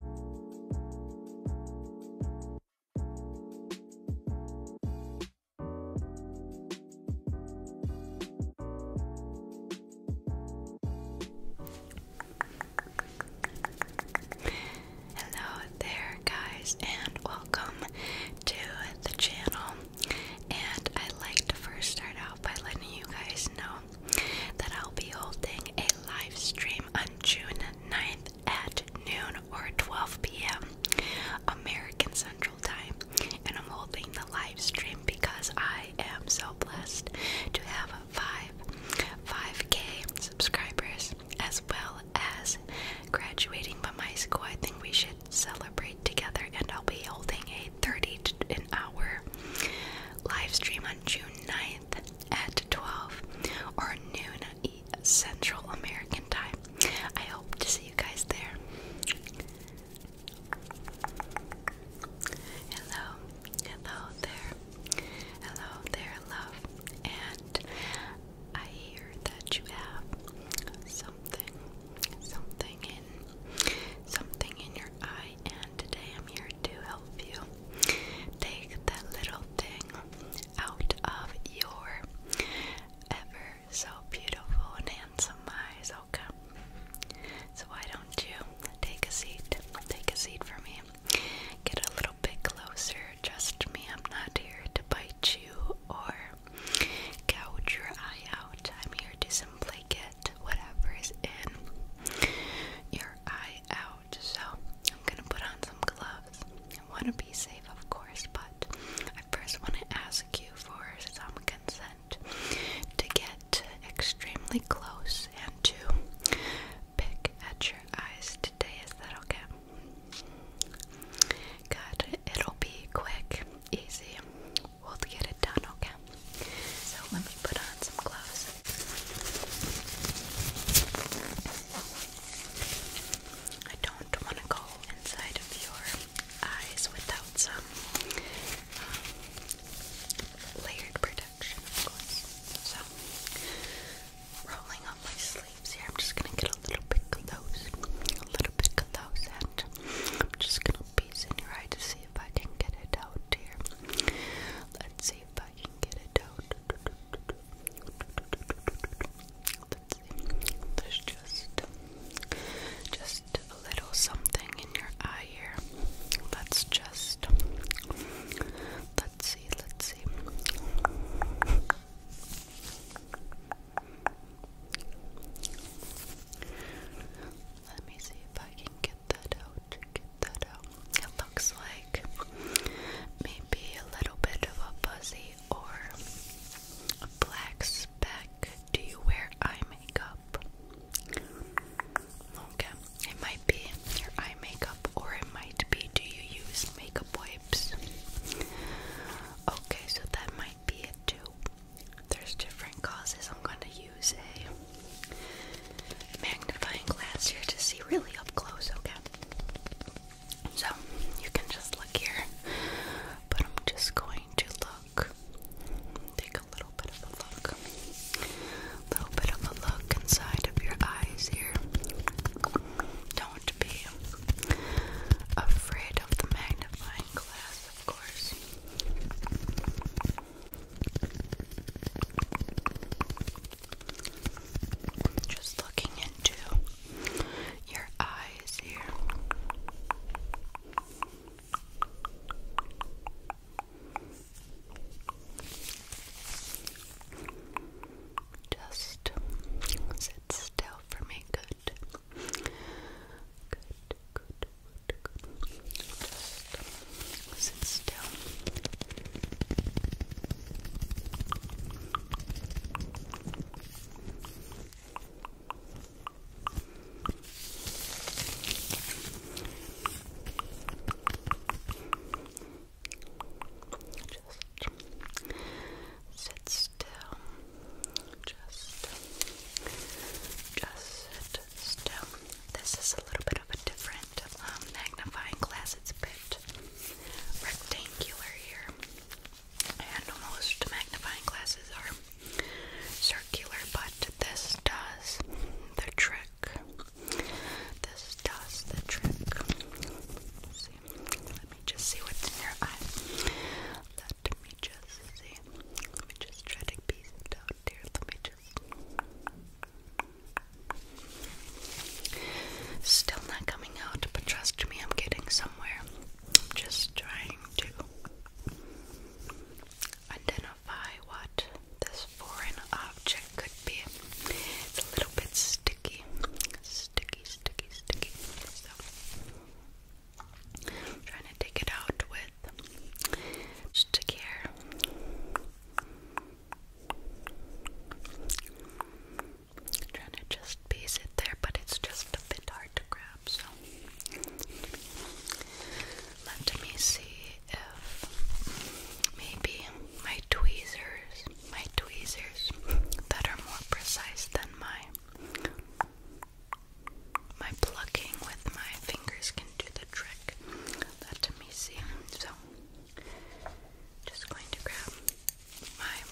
Hello there, guys, and welcome to the channel. And I'd like to first start out by letting you guys know that I'll be holding a live stream on June 9th at noon or 12 p.m. American Central Time. And I'm holding the live stream because I am so blessed to have 5 5k subscribers as well as graduating from high school. I think we should celebrate together and I'll be holding a 30 an hour live stream on June 9th at 12 or noon Central American time. I hope to see you guys there. Hello, hello there, hello there, love. And I hear that you have something, something in, something in your eye. And today I'm here to help you Take that little thing out of your ever so beautiful and handsome eyes, okay? So, why don't you take a seat? Take a seat for me. Get a little bit closer. Trust me, I'm not here to bite you or gouge your eye out. I'm here to simply get whatever is in your eye out. So, I'm gonna put on some gloves. I wanna be safe, of course, but I first wanna ask you for some consent to get extremely close and to pick at your eyes today. Is that okay? Good. It'll be quick, easy. We'll get it done, okay? So let me put on some gloves. I don't want to go inside of your eyes without some um, layered protection, So, rolling up my sleeves here, I'm just gonna get a little bit of those, a little bit of and I'm just gonna piece in your eye to see if I can get it out here. Let's see if Let's see. There's just just a little something in your eye here. Let's just let's see, let's see. Let me see if I can get that out. Get um, it looks like maybe a little bit of a fuzzy or a black speck. Do you wear eye makeup? Okay, it might be your eye makeup or it might be do you use makeup wipes? Okay, so that might be it too. There's different causes. I'm going to use a magnifying glass here to see really up close, okay? So, you can just look here, but I'm just going to look, take a little bit of a look, little bit of a look inside of your eyes here. Don't be afraid of the magnifying glass, of course. Just looking into your eyes here. Just sit still for me, good. Good, good, good, good. Just sit still. Sit still. Just, just sit still. This is a little bit of a different um, magnifying glass. It's a bit rectangular here, and most magnifying glasses are circular, but this does the trick. This does the trick. let me just see what's in your eye. Let me just see. Let me just try to piece it out here. Let me just. Still not coming out, but trust me, I'm getting somewhere. I'm just trying to identify what this foreign object could be. It's a little bit sticky. Sticky, sticky, sticky. So trying to take it out with stick I'm trying to just piece it there, but it's just a bit hard to grab, so let me see if maybe my tweezers, my tweezers that are more precise than my my plucking with my fingers can do the trick. Let me see. So just going to grab my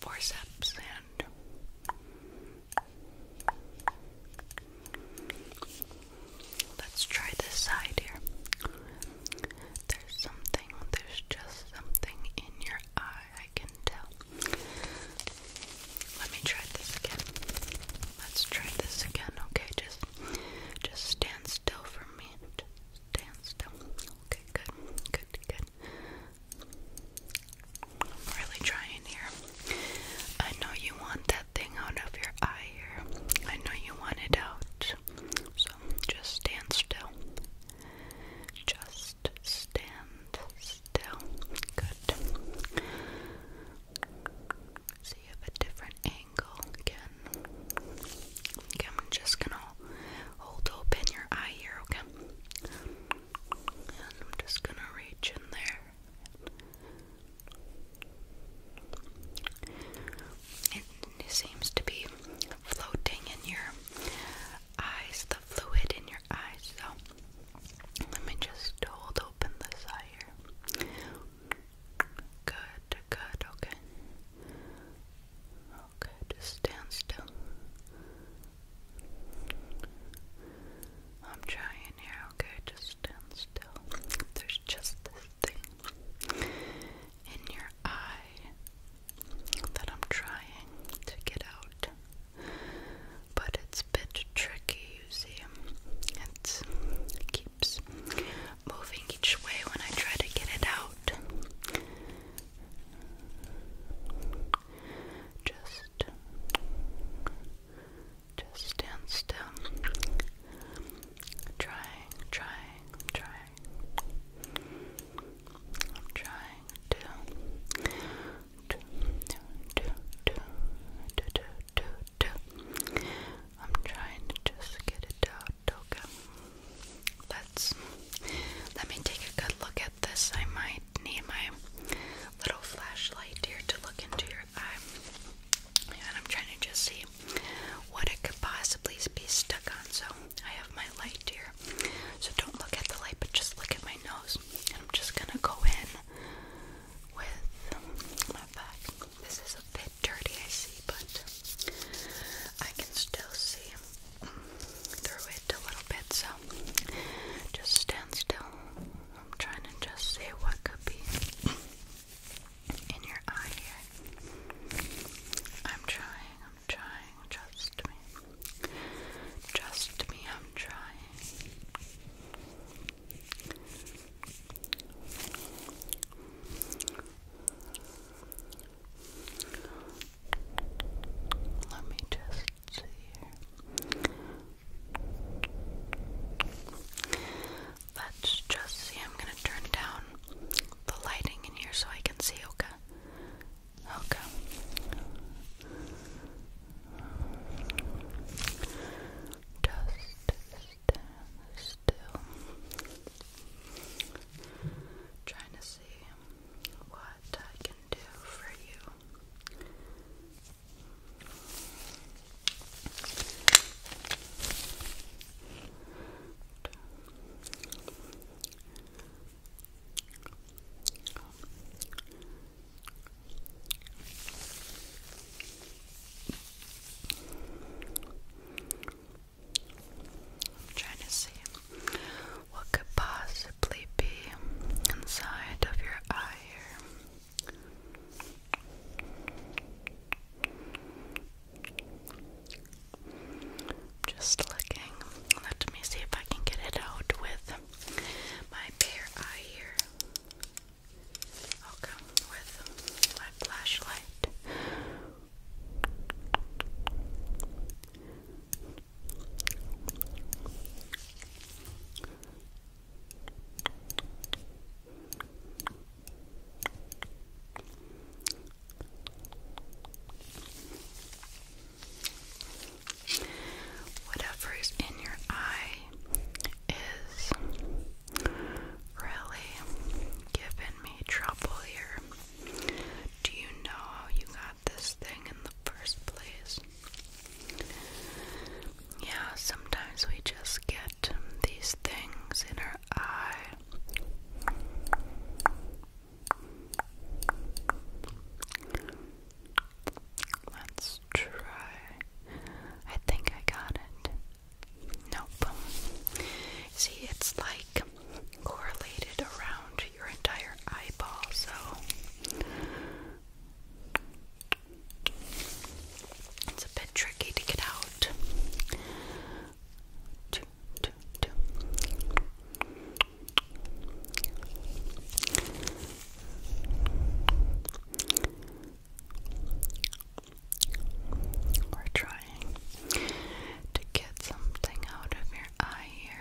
forceps and let's try this side here. There's something, there's just something in your eye, I can tell. Let me try this again. Let's try this again, okay? Just just stand still for me. Just stand still. Okay, good, good, good. I'm really trying here. I know you want that thing out of your eye here. I know you want it out. So just stand still. Just stand still. Good. See, you have a different angle again. I'm just gonna hold open your eye here, okay? And I'm just gonna reach in there. It seems to be floating in your eyes, the fluid in your eyes. So let me just hold open the eye here. Good, good, okay. Okay, just stand still. I'm trying here, okay? Just stand still. There's just this thing in your eye that I'm trying to get out. But it's a bit tricky, you see. it keeps moving each way when I try to get it out. Just, just stand still. Trying, trying, trying. trying to, to, to, to, to, to, to, to. I'm trying to just get it out, okay? let's let me take a good look at this. I might need my little flashlight here to look into your eye. And I'm trying to just see what it could possibly be stuck on. So I have my light here. So don't look at the light, but just look at my nose. And I'm just gonna go in with my back. This is a bit dirty, I see, but I can still see through it a little bit, so just stand still. I'm trying to just see what could be in your eye here. I'm trying, I'm trying, trust me. Trust me, I'm trying. Let me just see here. Let's just see. I'm gonna turn down the lighting in here so I can see. Okay. Okay. Just still. Trying to see what I can do for you. I'm trying to see what could possibly be inside of your eye here. Just looking. Let me see if I can get it out with my bare eye here. I'll come with my flashlight. Whatever is in your eye is really giving me trouble here. Do you know how you got this thing in the first place? Yeah, sometimes we just get these things in our eye. Let's try. I think I got it. Nope. See, it's like correlated around your entire eyeball, so it's a bit tricky to get out. two, two. We're trying to get something out of your eye here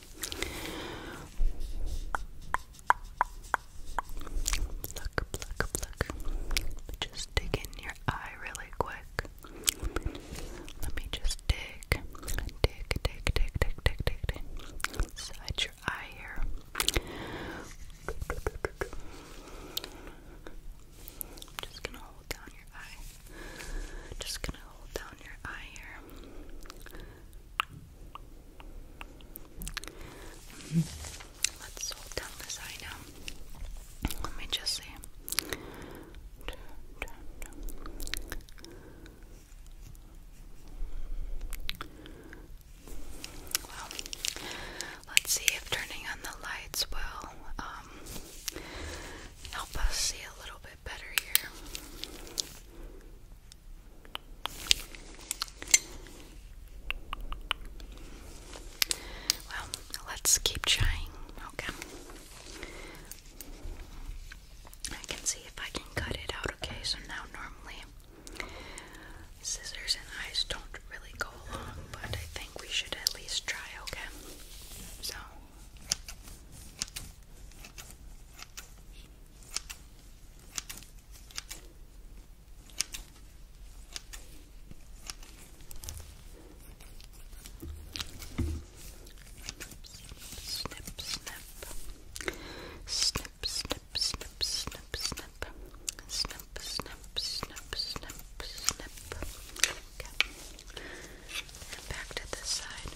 Pluck, pluck, pluck. Just dig in your eye really quick. Let me just dig. Dig, dig, dig, dig, dig, dig, dig. Inside your eye here. just gonna hold down your eye. Just gonna hold down your eye here. Let's hold down this eye now. Let me just see. Well, let's see if turning on the lights will um, help us see a little bit better here. Well, let's keep trying. Okay. I can see if I can cut it out. Okay, so now normally scissors and eyes don't really go along, but I think we should at least try. Okay. So. Snip, snip. Snip, snip, snip, snip, snip. Snip, snip, snip, snip, back to this side.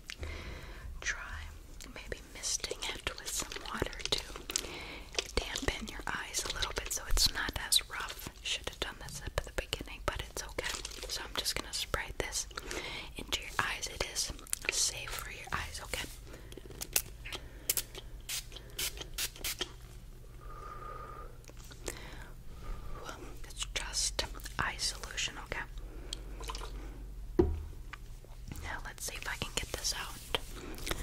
Try maybe misting it with some water to dampen your eyes a little bit so it's not as rough. Should have done this at the beginning, but it's okay. So I'm just gonna spray this into your eyes. It is safe for your eyes, okay? it's just eye solution, okay? Now let's see if I can get this out.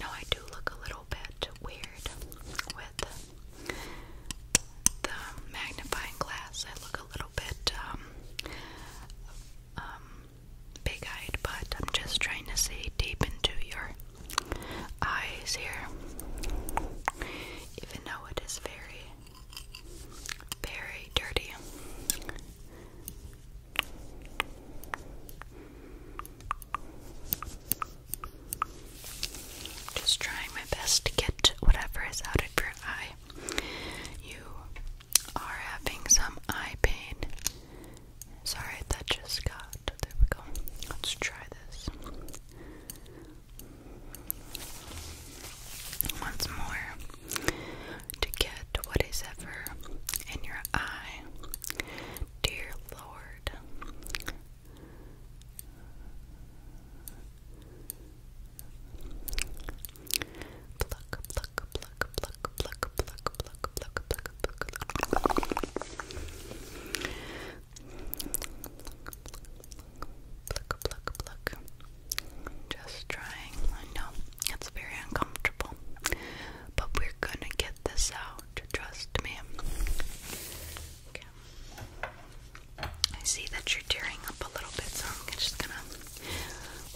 Now I do look a little bit weird with the magnifying glass. I look a little bit um, um, big eyed, but I'm just trying to see deep into your eyes here. Even though it is very, very dirty. Just trying my best to get whatever is out of your eye. You are having some eye pain. Sorry, that just got. There we go. Let's try this. Once more to get what is ever in your eye. Dear Lord. Pluck, pluck, pluck, pluck, pluck, pluck, pluck, pluck, pluck, pluck, pluck, pluck, pluck, pluck. Just trying. I know it's very uncomfortable, but we're gonna get this out. Trust me. Okay. I see that you're tearing up a little bit, so I'm just gonna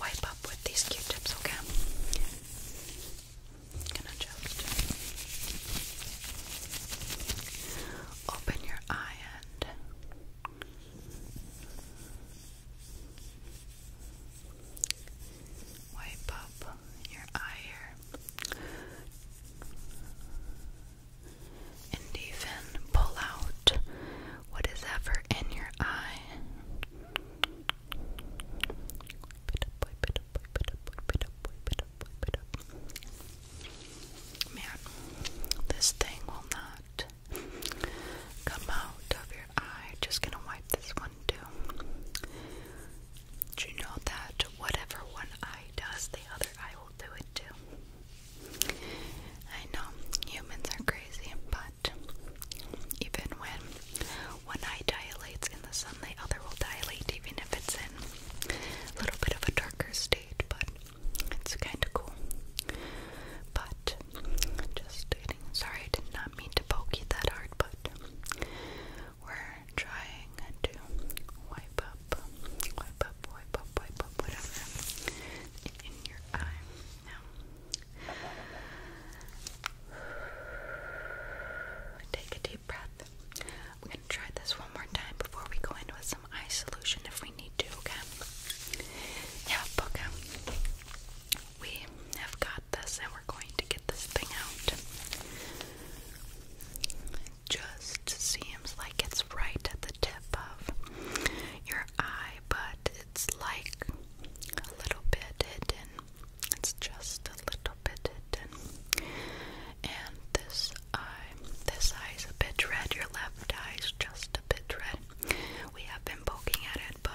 wipe up with these Q-tips. Okay gonna just open your eye and wipe up your eye here and even pull out what is ever in your eye. Man, this thing will not come out of your eye. Just gonna wipe this one too. Do you know that whatever one eye does, the other eye will do it too? I know humans are crazy, but even when one eye dilates in the sun, the other will dilate even if it's in a little bit of a darker state, but it's kind of cool. But just sorry, I did not mean to poke you that hard, but we're trying to wipe up, wipe up, wipe up, wipe up, whatever in your eye. Take a deep breath. We're going to try this one more time before we go in with some eye solution if we need to, okay? Yeah, okay. We have got this and we're going to get this thing out. Just seems like it's right at the tip of your eye, but it's like a little bit hidden it's just a little bit hidden. And this eye, this eye is a bit red. Your left eye is just a bit red. We have been poking at it, but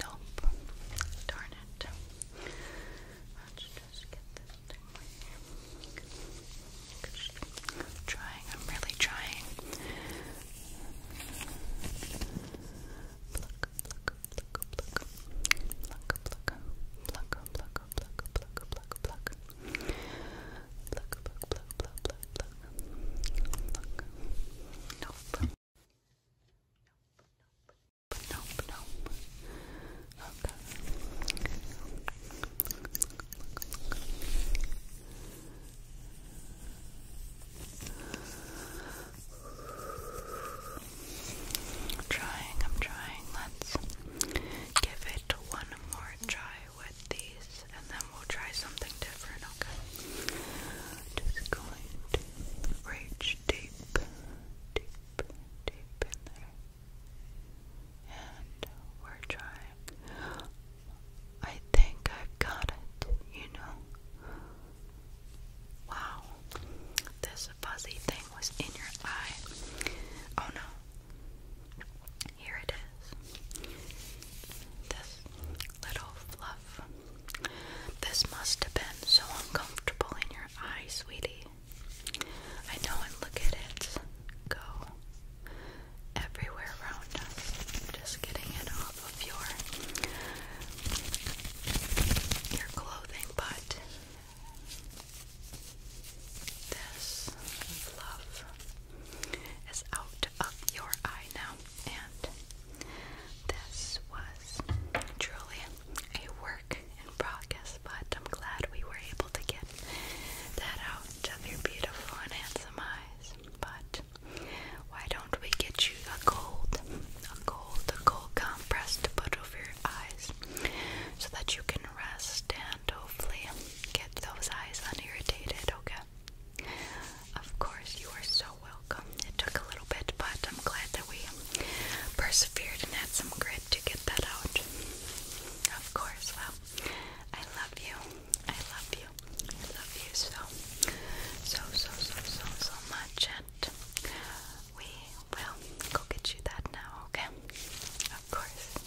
Nope. Darn it. Let's just get this thing right trying, I'm really trying. Pluck, pluck, pluck, pluck. Pluck, pluck, pluck, pluck, pluck, pluck, pluck, pluck. Nope. Nope, nope, nope. I'm trying, I'm trying. Let's give it one more try with these and then we'll try something different, okay? Just going to reach deep, deep, deep in there. And we're trying. I think I've got it, you know. Wow. This fuzzy thing was in your eye. Oh no. Here it is. This little fluff. This must have been so uncomfortable in your eye, sweetie. I know, and look at it go everywhere around us. Just getting it off of your your clothing, but this fluff is out of your eye now. And this was truly a work in progress, but I'm glad we were able to get that out of your beautiful and handsome eyes. But why don't we get you a cold, a cold, a cold compress to put over your eyes so that you can rest and hopefully get those eyes unirritated, okay? Of course, you are so welcome. It took a little bit, but I'm glad that we persevered and had some grit to get that out. Of course, well, I love you. I love you. I love you so, so, so, so, so, so much. And we will go get you that now, okay? Of course.